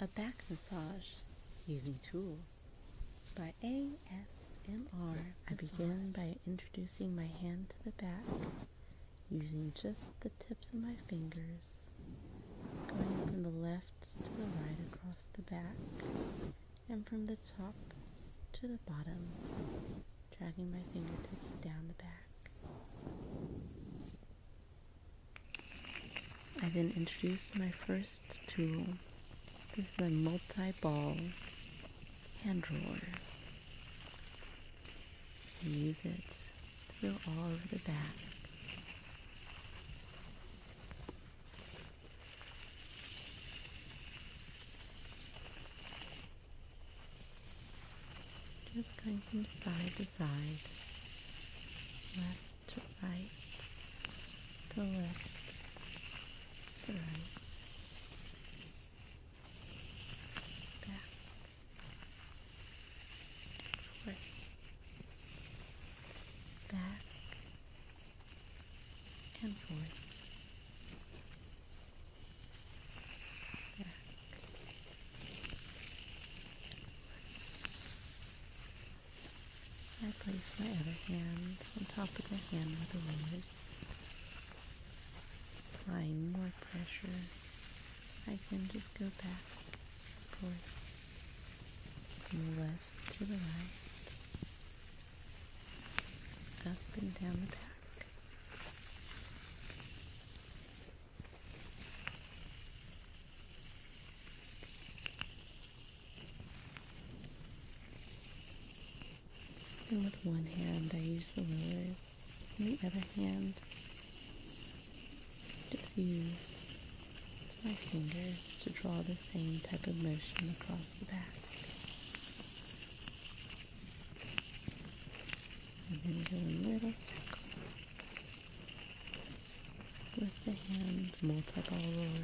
A back massage using tools by ASMR. I begin by introducing my hand to the back using just the tips of my fingers, going from the left to the right across the back, and from the top to the bottom, dragging my fingertips down the back i then been introduced my first tool. This is a multi-ball hand roller. use it to go all over the back. Just going from side to side, left to right, to left, to right, back, forth, back and forth. Back. I place my other hand on top of the hand with the fingers, applying more pressure. I can just go back and forth from the left to the right, up and down the back. And with one hand, I use the rulers, and the other hand, just use my fingers to draw the same type of motion across the back. And then go little with the hand multiple ball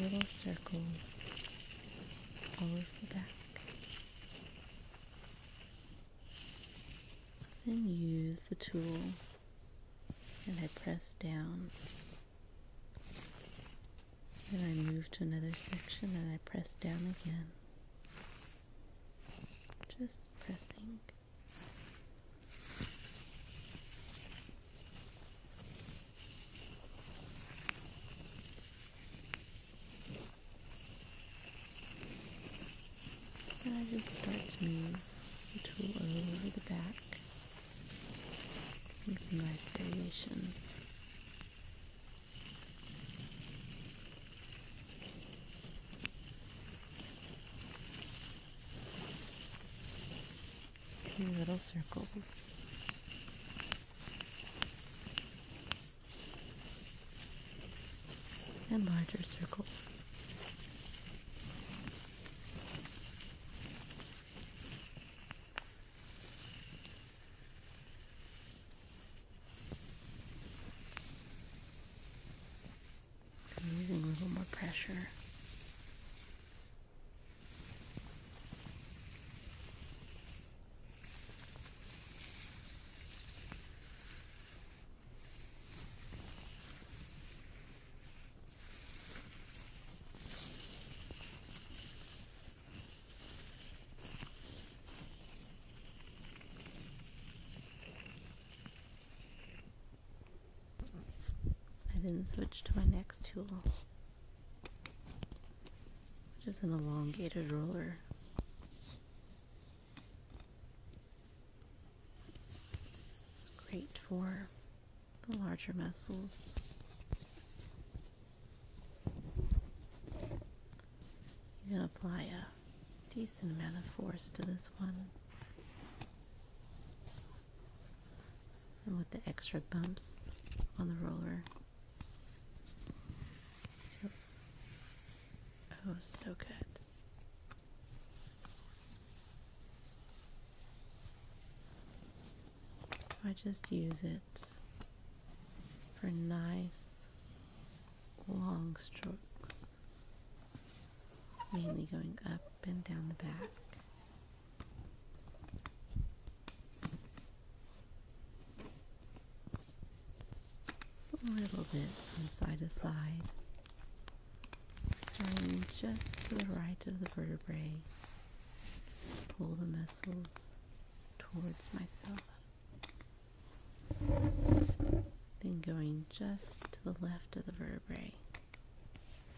little circles all over the back. Then use the tool and I press down and I move to another section and I press down again. Just pressing. I just start to move the tool over the back. Make some nice variation a few little circles. And larger circles. I'm using a little more pressure. I then switch to my next tool, which is an elongated roller. great for the larger muscles. You're going to apply a decent amount of force to this one. And with the extra bumps on the roller, feels oh so good. I just use it for nice long strokes, mainly going up and down the back. A little bit from side to side, starting just to the right of the vertebrae. Pull the muscles towards myself. Then going just to the left of the vertebrae,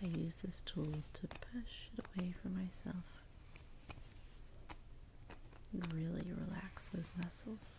I use this tool to push it away from myself and really relax those muscles.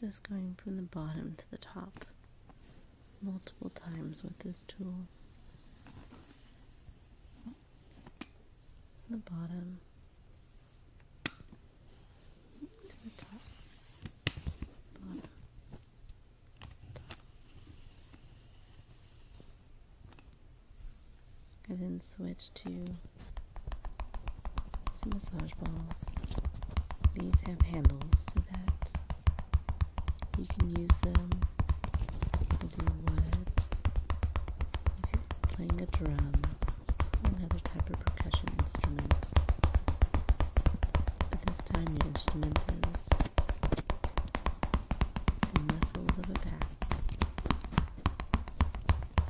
Just going from the bottom to the top multiple times with this tool. The bottom to the top. Bottom. then switch to some massage balls. These have handles so that you can use them as you would if you're playing a drum or another type of percussion instrument. But this time your instrument is the muscles of a back.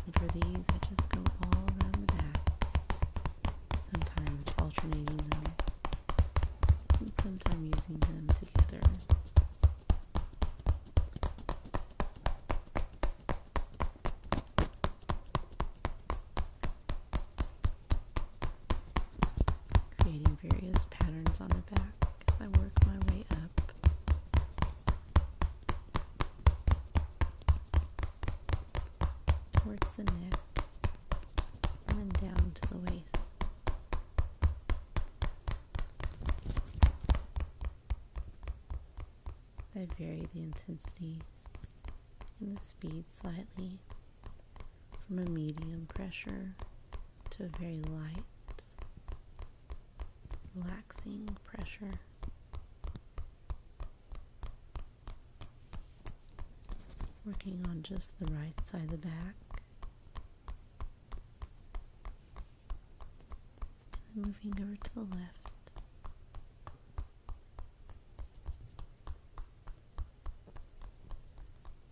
And for these, I just go all around the back, sometimes alternating them, and sometimes using them together. Creating various patterns on the back as I work my way up towards the neck and then down to the waist. I vary the intensity and the speed slightly from a medium pressure to a very light relaxing pressure. Working on just the right side of the back. moving over to the left.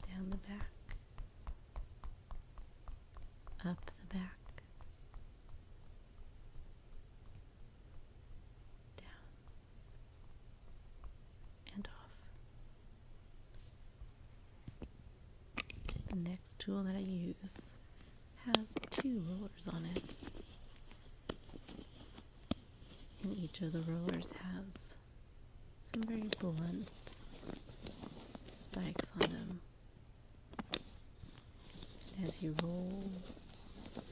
Down the back. Up the back down, and off. The next tool that I use has two rollers on it. And each of the rollers has some very blunt spikes on them as you roll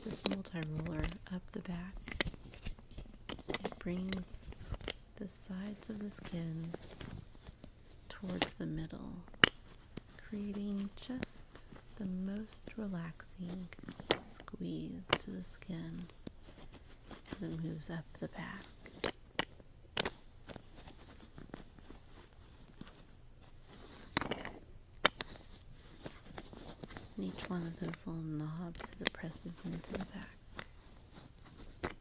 this multi-roller up the back, it brings the sides of the skin towards the middle, creating just the most relaxing squeeze to the skin as it moves up the back. And each one of those little knobs as it presses into the back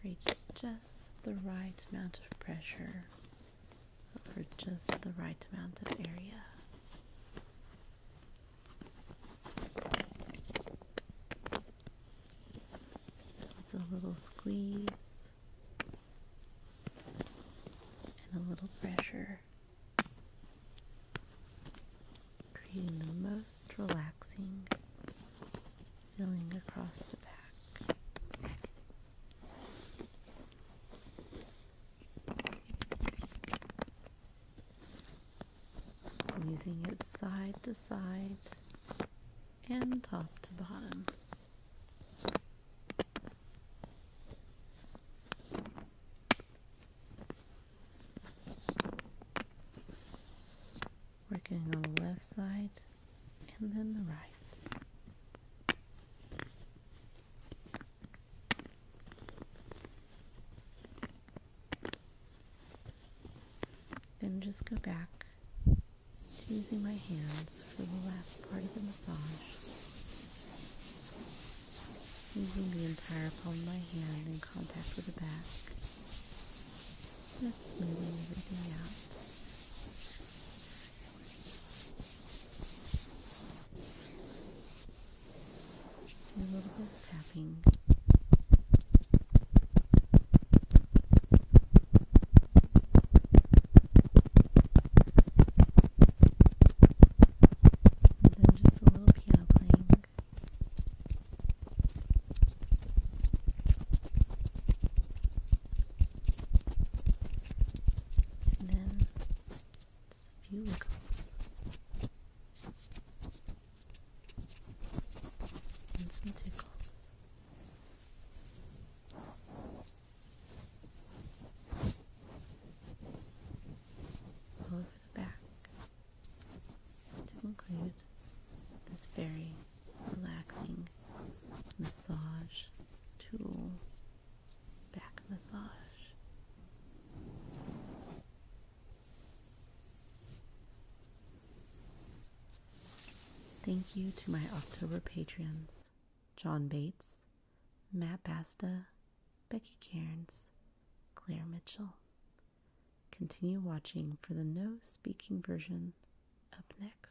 creates just the right amount of pressure for just the right amount of area. So it's a little squeeze and a little pressure, creating the most relaxing feeling across the back. Using it side to side and top to bottom. Working on the left side and then the right. Then just go back to using my hands for the last part of the massage. Using the entire palm of my hand in contact with the back. Just smoothing everything out. a little bit tapping. And then just a little piano playing. And then just a And some tickles over the back to include this very relaxing massage tool back massage. Thank you to my October patrons John Bates, Matt Basta, Becky Cairns, Claire Mitchell. Continue watching for the no speaking version up next.